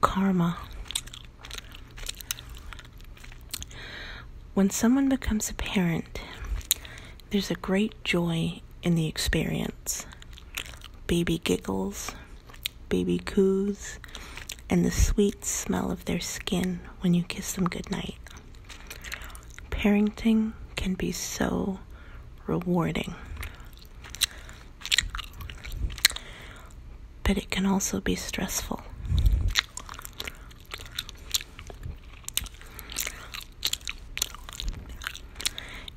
Karma. When someone becomes a parent, there's a great joy in the experience. Baby giggles, baby coos, and the sweet smell of their skin when you kiss them goodnight. Parenting can be so rewarding. But it can also be stressful.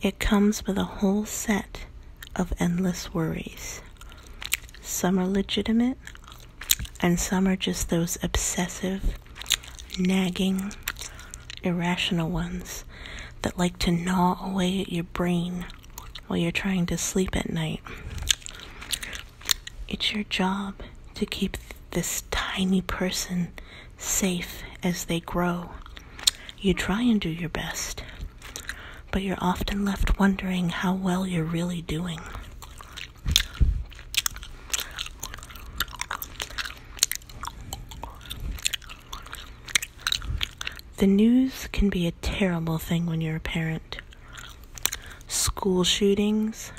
It comes with a whole set of endless worries. Some are legitimate, and some are just those obsessive nagging, irrational ones that like to gnaw away at your brain while you're trying to sleep at night. It's your job to keep this tiny person safe as they grow. You try and do your best, but you're often left wondering how well you're really doing. The news can be a terrible thing when you're a parent. School shootings,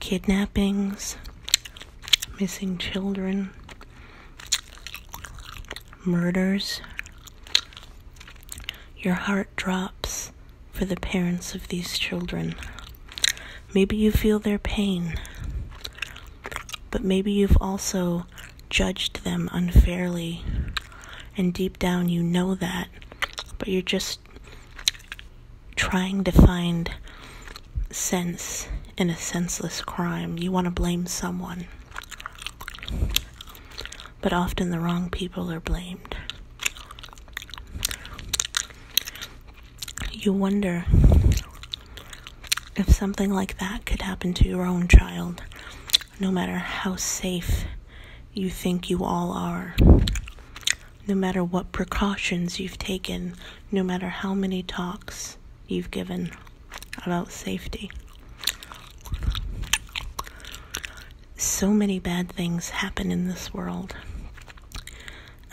kidnappings, missing children, murders. Your heart drops for the parents of these children. Maybe you feel their pain, but maybe you've also judged them unfairly, and deep down you know that, but you're just trying to find sense in a senseless crime. You want to blame someone, but often the wrong people are blamed you wonder if something like that could happen to your own child, no matter how safe you think you all are, no matter what precautions you've taken, no matter how many talks you've given about safety. So many bad things happen in this world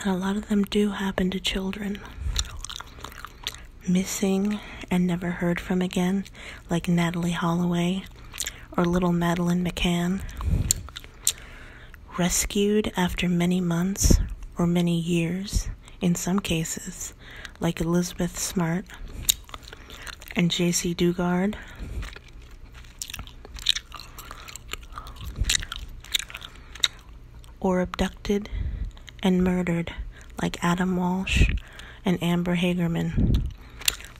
and a lot of them do happen to children. Missing and never heard from again, like Natalie Holloway or little Madeline McCann. Rescued after many months or many years, in some cases, like Elizabeth Smart and J.C. Dugard or abducted and murdered like Adam Walsh and Amber Hagerman,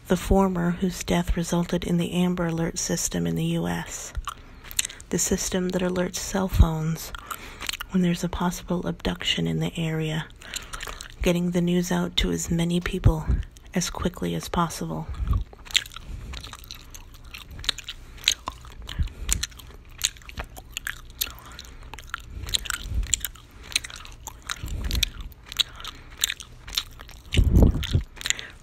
the former whose death resulted in the Amber Alert system in the U.S., the system that alerts cell phones when there's a possible abduction in the area, getting the news out to as many people as quickly as possible.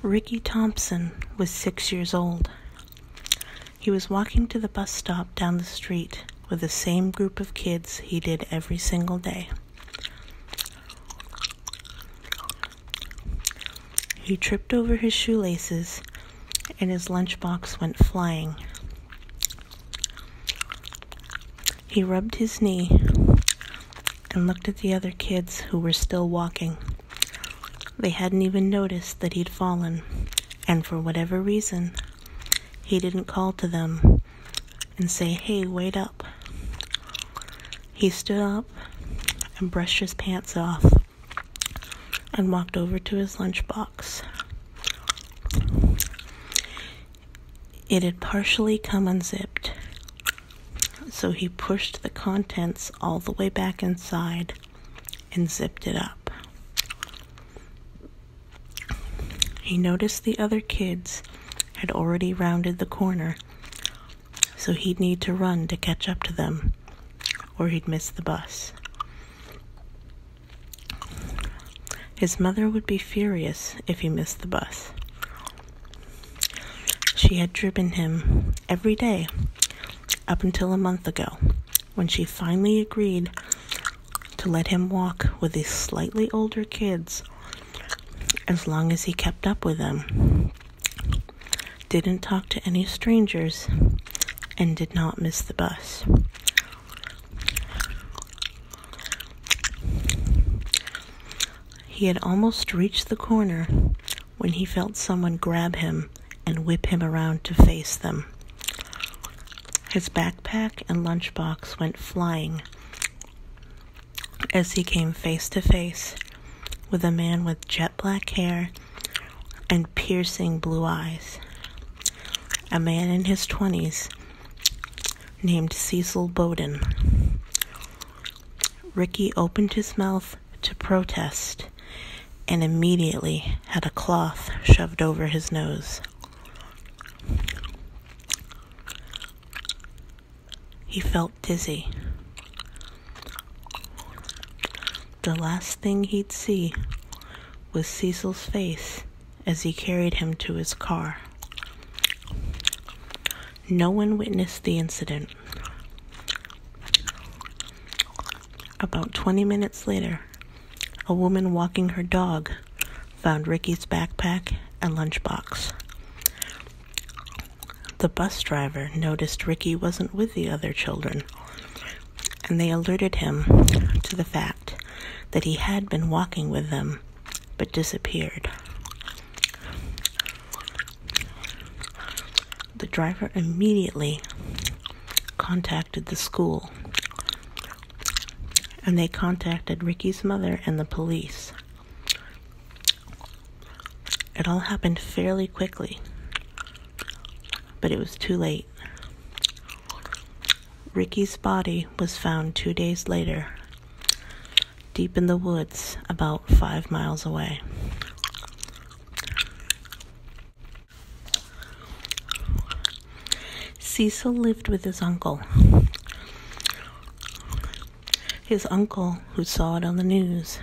Ricky Thompson was six years old. He was walking to the bus stop down the street with the same group of kids he did every single day. He tripped over his shoelaces and his lunchbox went flying. He rubbed his knee and looked at the other kids who were still walking. They hadn't even noticed that he'd fallen, and for whatever reason, he didn't call to them and say, Hey, wait up. He stood up and brushed his pants off and walked over to his lunchbox. It had partially come unzipped, so he pushed the contents all the way back inside and zipped it up. He noticed the other kids had already rounded the corner so he'd need to run to catch up to them, or he'd miss the bus. His mother would be furious if he missed the bus. She had driven him every day up until a month ago when she finally agreed to let him walk with the slightly older kids as long as he kept up with them, didn't talk to any strangers, and did not miss the bus. He had almost reached the corner when he felt someone grab him and whip him around to face them. His backpack and lunchbox went flying, as he came face to face with a man with jet black hair and piercing blue eyes. A man in his 20s named Cecil Bowden. Ricky opened his mouth to protest and immediately had a cloth shoved over his nose. He felt dizzy. The last thing he'd see was Cecil's face as he carried him to his car. No one witnessed the incident. About 20 minutes later, a woman walking her dog found Ricky's backpack and lunchbox. The bus driver noticed Ricky wasn't with the other children, and they alerted him to the fact that he had been walking with them but disappeared. The driver immediately contacted the school and they contacted Ricky's mother and the police. It all happened fairly quickly, but it was too late. Ricky's body was found two days later, deep in the woods, about five miles away. Cecil lived with his uncle. His uncle, who saw it on the news,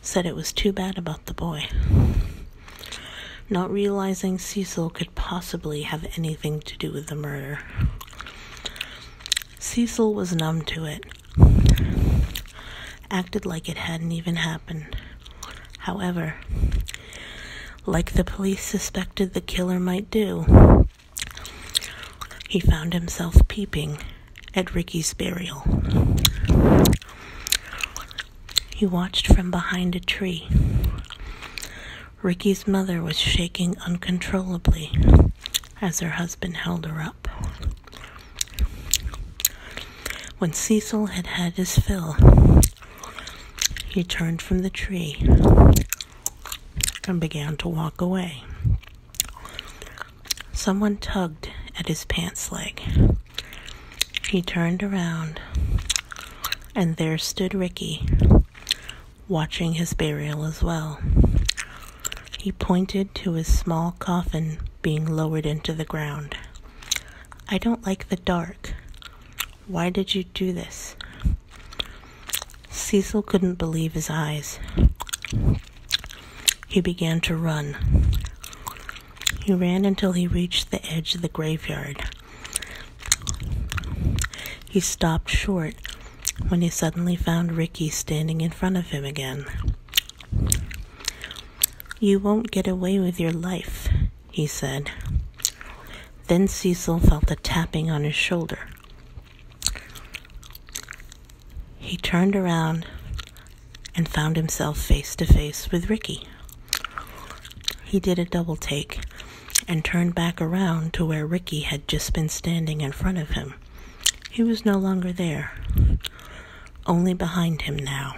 said it was too bad about the boy. Not realizing Cecil could possibly have anything to do with the murder. Cecil was numb to it, acted like it hadn't even happened. However, like the police suspected the killer might do. He found himself peeping at Ricky's burial. He watched from behind a tree. Ricky's mother was shaking uncontrollably as her husband held her up. When Cecil had had his fill, he turned from the tree and began to walk away. Someone tugged at his pants leg. He turned around, and there stood Ricky, watching his burial as well. He pointed to his small coffin being lowered into the ground. I don't like the dark, why did you do this? Cecil couldn't believe his eyes. He began to run. He ran until he reached the edge of the graveyard. He stopped short when he suddenly found Ricky standing in front of him again. You won't get away with your life, he said. Then Cecil felt a tapping on his shoulder. He turned around and found himself face to face with Ricky. He did a double take and turned back around to where Ricky had just been standing in front of him. He was no longer there, only behind him now.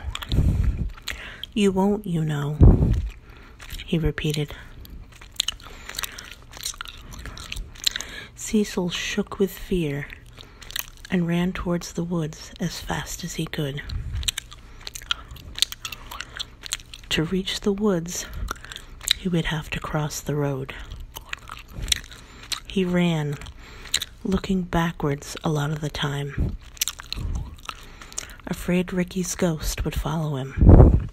You won't, you know, he repeated. Cecil shook with fear and ran towards the woods as fast as he could. To reach the woods, he would have to cross the road. He ran, looking backwards a lot of the time afraid Ricky's ghost would follow him.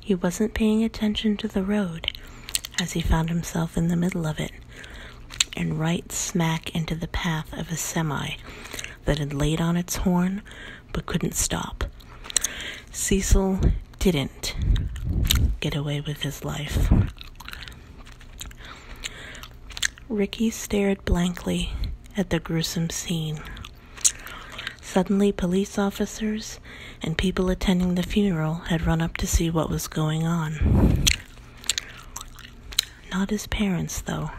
He wasn't paying attention to the road as he found himself in the middle of it and right smack into the path of a semi that had laid on its horn but couldn't stop. Cecil didn't get away with his life. Ricky stared blankly at the gruesome scene. Suddenly, police officers and people attending the funeral had run up to see what was going on. Not his parents, though.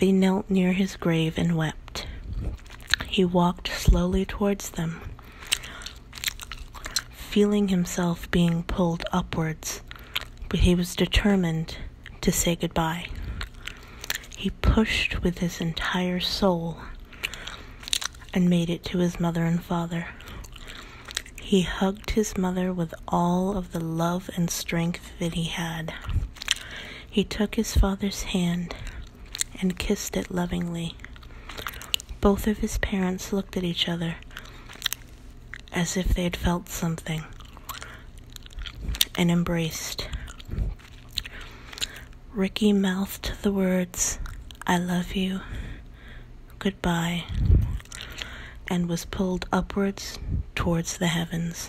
They knelt near his grave and wept. He walked slowly towards them, feeling himself being pulled upwards, but he was determined to say goodbye. He pushed with his entire soul and made it to his mother and father. He hugged his mother with all of the love and strength that he had. He took his father's hand and kissed it lovingly. Both of his parents looked at each other as if they had felt something and embraced. Ricky mouthed the words, I love you, goodbye, and was pulled upwards towards the heavens.